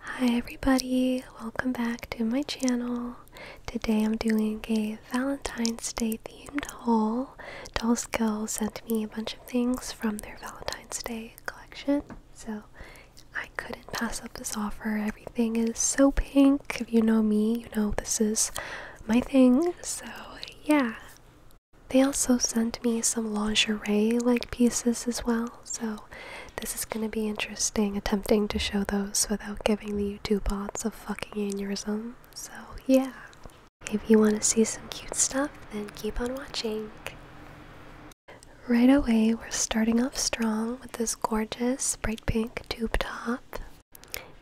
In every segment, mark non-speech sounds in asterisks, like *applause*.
Hi everybody, welcome back to my channel. Today I'm doing a Valentine's Day themed haul. Dollskill sent me a bunch of things from their Valentine's Day collection, so I couldn't pass up this offer. Everything is so pink. If you know me, you know this is my thing, so yeah. They also sent me some lingerie like pieces as well, so this is going to be interesting attempting to show those without giving the YouTube bots a fucking aneurysm. So, yeah. If you want to see some cute stuff, then keep on watching. Right away, we're starting off strong with this gorgeous bright pink tube top.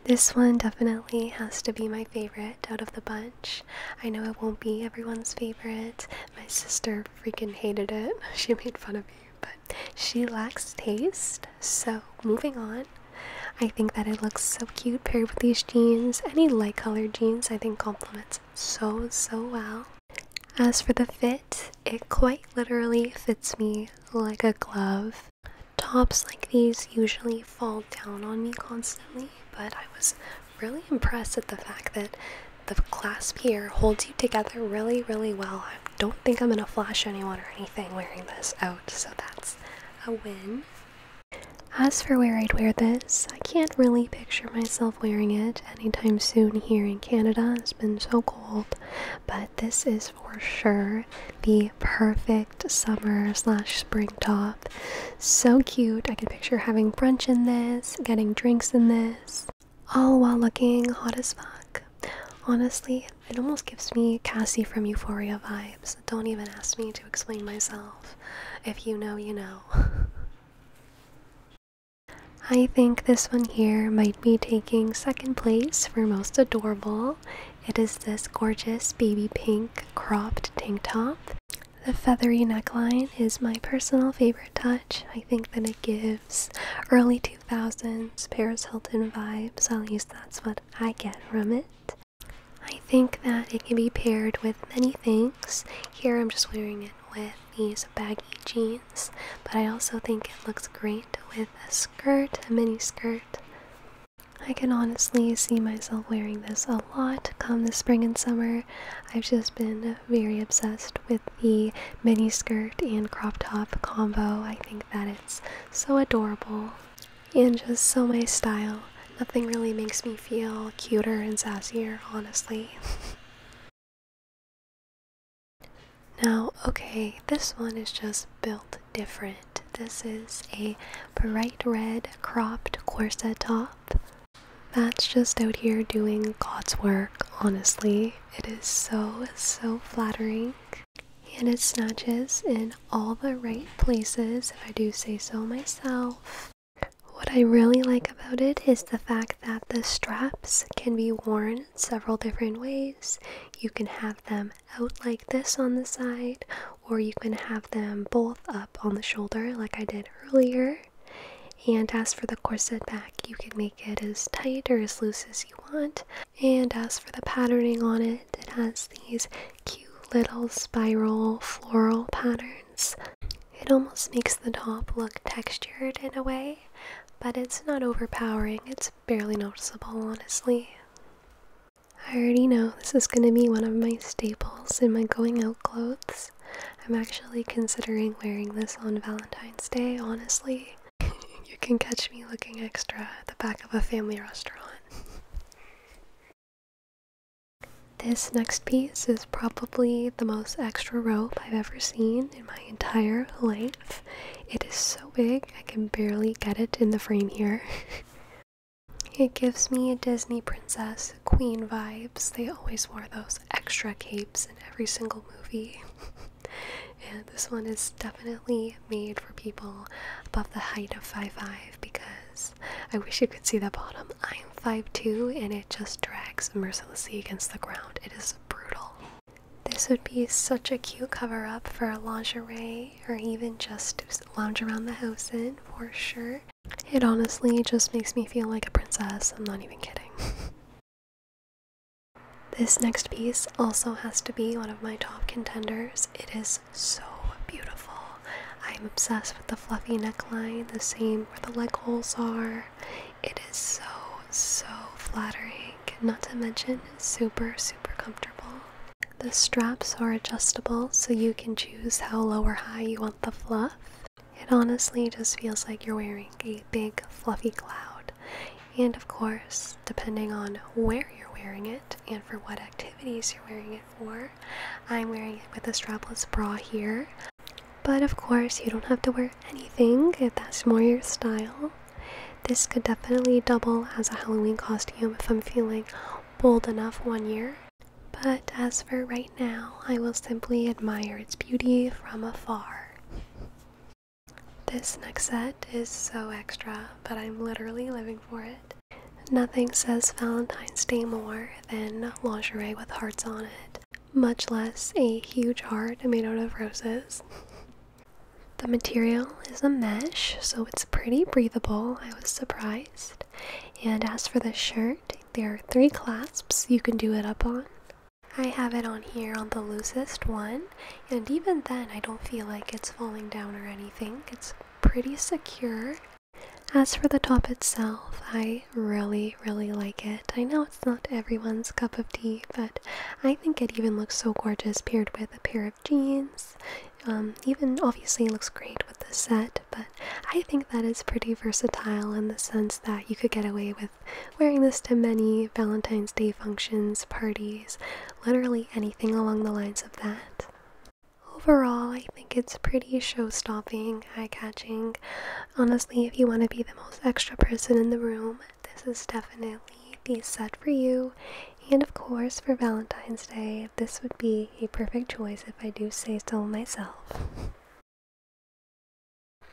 This one definitely has to be my favorite out of the bunch. I know it won't be everyone's favorite. My sister freaking hated it. *laughs* She made fun of me, but she lacks taste. So, moving on. I think that it looks so cute paired with these jeans. Any light colored jeans, I think, complements so, so well. As for the fit, it quite literally fits me like a glove. Tops like these usually fall down on me constantly, but I was really impressed at the fact that the clasp here holds you together really, really well. I don't think I'm going to flash anyone or anything wearing this out, so that's a win. As for where I'd wear this, I can't really picture myself wearing it anytime soon here in Canada. It's been so cold, but this is for sure the perfect summer slash spring top so cute. I can picture having brunch in this, getting drinks in this, all while looking hot as fuck. Honestly, it almost gives me Cassie from Euphoria vibes. Don't even ask me to explain myself. If you know, you know. *laughs* I think this one here might be taking second place for most adorable. It is this gorgeous baby pink cropped tank top. The feathery neckline is my personal favorite touch. I think that it gives early 2000s Paris Hilton vibes, at least that's what I get from it. I think that it can be paired with many things. Here I'm just wearing it with these baggy jeans, but I also think it looks great with a skirt, a mini skirt. I can honestly see myself wearing this a lot come the spring and summer. I've just been very obsessed with the mini skirt and crop top combo. I think that it's so adorable and just so my style. Nothing really makes me feel cuter and sassier, honestly. *laughs* Now, okay, this one is just built different. This is a bright red cropped corset top. That's just out here doing God's work, honestly. It is so, so flattering. And it snatches in all the right places, if I do say so myself. What I really like about it is the fact that the straps can be worn several different ways. You can have them out like this on the side, or you can have them both up on the shoulder like I did earlier. And as for the corset back, you can make it as tight or as loose as you want. And as for the patterning on it, it has these cute little spiral floral patterns. It almost makes the top look textured in a way, but it's not overpowering. It's barely noticeable, honestly. I already know this is going to be one of my staples in my going out clothes. I'm actually considering wearing this on Valentine's Day, honestly. *laughs* you can catch me looking extra at the back of a family restaurant. This next piece is probably the most extra rope I've ever seen in my entire life. It is so big, I can barely get it in the frame here. *laughs* It gives me a Disney princess, queen vibes. They always wore those extra capes in every single movie. *laughs* and this one is definitely made for people above the height of 5'5 because I wish you could see the bottom. I am 5'2 and it just drags mercilessly against the ground. It is brutal. This would be such a cute cover up for lingerie or even just lounge around the house in for sure. It honestly just makes me feel like a princess. I'm not even kidding. *laughs* this next piece also has to be one of my top contenders. It is so beautiful. I'm obsessed with the fluffy neckline, the same where the leg holes are. It is so, so flattering not to mention super, super comfortable. The straps are adjustable so you can choose how low or high you want the fluff. It honestly just feels like you're wearing a big fluffy cloud. And of course, depending on where you're wearing it and for what activities you're wearing it for, I'm wearing it with a strapless bra here. But of course, you don't have to wear anything if that's more your style. This could definitely double as a Halloween costume if I'm feeling bold enough one year. But as for right now, I will simply admire its beauty from afar. This next set is so extra, but I'm literally living for it. Nothing says Valentine's Day more than lingerie with hearts on it, much less a huge heart made out of roses. *laughs* The material is a mesh, so it's pretty breathable. I was surprised. And as for the shirt, there are three clasps you can do it up on. I have it on here on the loosest one, and even then I don't feel like it's falling down or anything. It's pretty secure. As for the top itself, I really, really like it. I know it's not everyone's cup of tea, but I think it even looks so gorgeous paired with a pair of jeans. Um, even obviously looks great with the set, but I think that is pretty versatile in the sense that you could get away with wearing this to many Valentine's Day functions, parties, literally anything along the lines of that. Overall, I think it's pretty show stopping, eye catching. Honestly, if you want to be the most extra person in the room, this is definitely the set for you. And of course, for Valentine's Day, this would be a perfect choice if I do say so myself.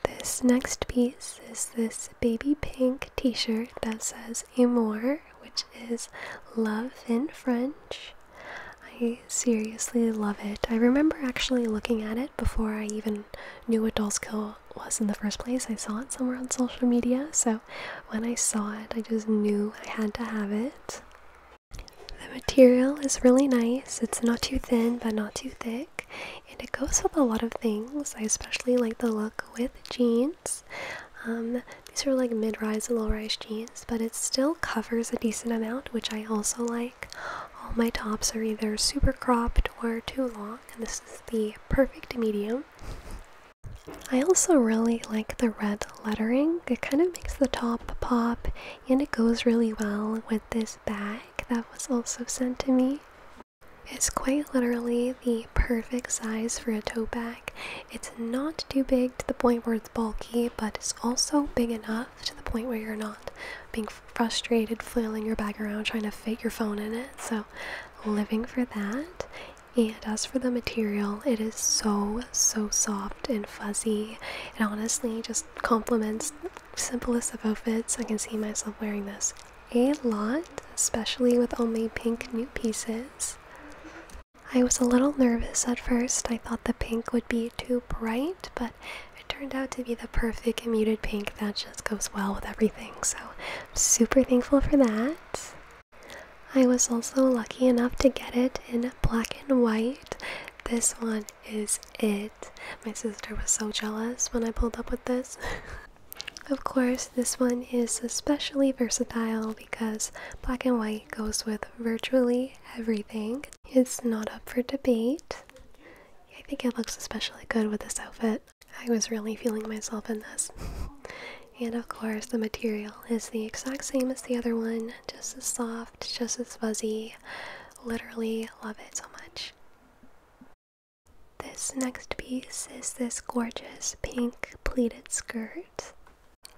This next piece is this baby pink t shirt that says Amour, which is love in French. I seriously love it. I remember actually looking at it before I even knew what Doll's Kill was in the first place. I saw it somewhere on social media, so when I saw it, I just knew I had to have it. The material is really nice. It's not too thin, but not too thick, and it goes with a lot of things. I especially like the look with jeans. Um, these are like mid-rise low-rise jeans, but it still covers a decent amount, which I also like. All my tops are either super cropped or too long, and this is the perfect medium. I also really like the red lettering. It kind of makes the top pop and it goes really well with this bag that was also sent to me. It's quite literally the perfect size for a tote bag. It's not too big to the point where it's bulky, but it's also big enough to the point where you're not being frustrated, flailing your bag around, trying to fit your phone in it. So, living for that. And as for the material, it is so, so soft and fuzzy. It honestly just complements simplest of outfits. I can see myself wearing this a lot, especially with only pink new pieces. I was a little nervous at first. I thought the pink would be too bright, but it turned out to be the perfect muted pink that just goes well with everything. So I'm super thankful for that. I was also lucky enough to get it in black and white. This one is it. My sister was so jealous when I pulled up with this. *laughs* of course, this one is especially versatile because black and white goes with virtually everything. It's not up for debate. I think it looks especially good with this outfit. I was really feeling myself in this. *laughs* and of course, the material is the exact same as the other one, just as soft, just as fuzzy. Literally love it so much. This next piece is this gorgeous pink pleated skirt.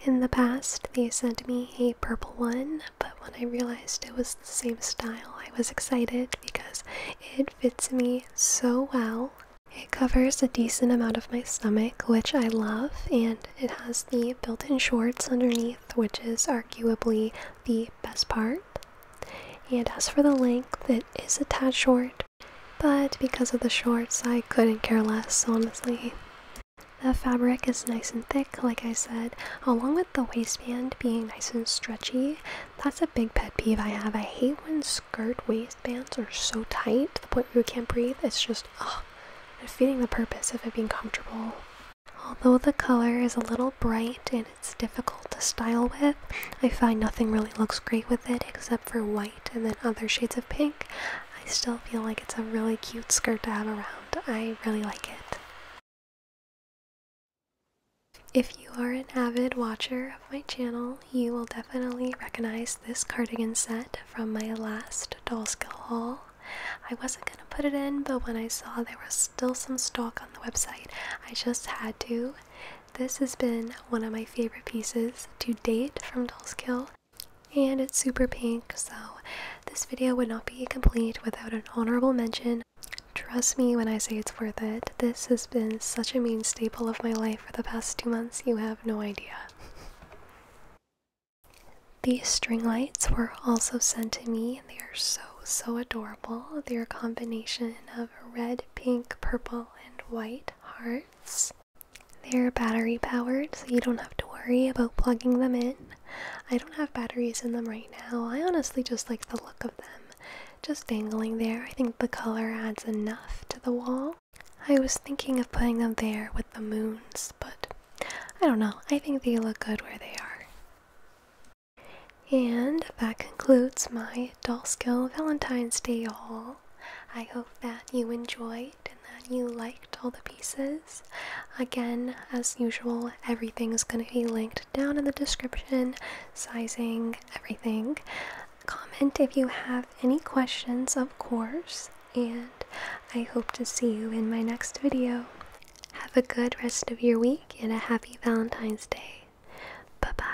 In the past, they sent me a purple one, but when I realized it was same style. I was excited because it fits me so well. It covers a decent amount of my stomach, which I love, and it has the built in shorts underneath, which is arguably the best part. And as for the length, it is a tad short, but because of the shorts, I couldn't care less, honestly. The fabric is nice and thick, like I said, along with the waistband being nice and stretchy. That's a big pet peeve I have. I hate when skirt waistbands are so tight to the point where you can't breathe. It's just, ugh, defeating the purpose of it being comfortable. Although the color is a little bright and it's difficult to style with, I find nothing really looks great with it except for white and then other shades of pink. I still feel like it's a really cute skirt to have around. I really like it. If you are an avid watcher of my channel, you will definitely recognize this cardigan set from my last Dollskill haul. I wasn't going to put it in, but when I saw there was still some stock on the website, I just had to. This has been one of my favorite pieces to date from Dollskill, and it's super pink so this video would not be complete without an honorable mention trust me when i say it's worth it this has been such a main staple of my life for the past two months you have no idea these string lights were also sent to me and they are so so adorable they're a combination of red pink purple and white hearts they're battery powered, so you don't have to worry about plugging them in. I don't have batteries in them right now. I honestly just like the look of them just dangling there. I think the color adds enough to the wall. I was thinking of putting them there with the moons, but I don't know. I think they look good where they are. And that concludes my doll skill Valentine's Day haul. I hope that you enjoy and that you liked all the pieces. Again, as usual, everything is going to be linked down in the description, sizing, everything. Comment if you have any questions, of course, and I hope to see you in my next video. Have a good rest of your week and a happy Valentine's Day. Bye bye.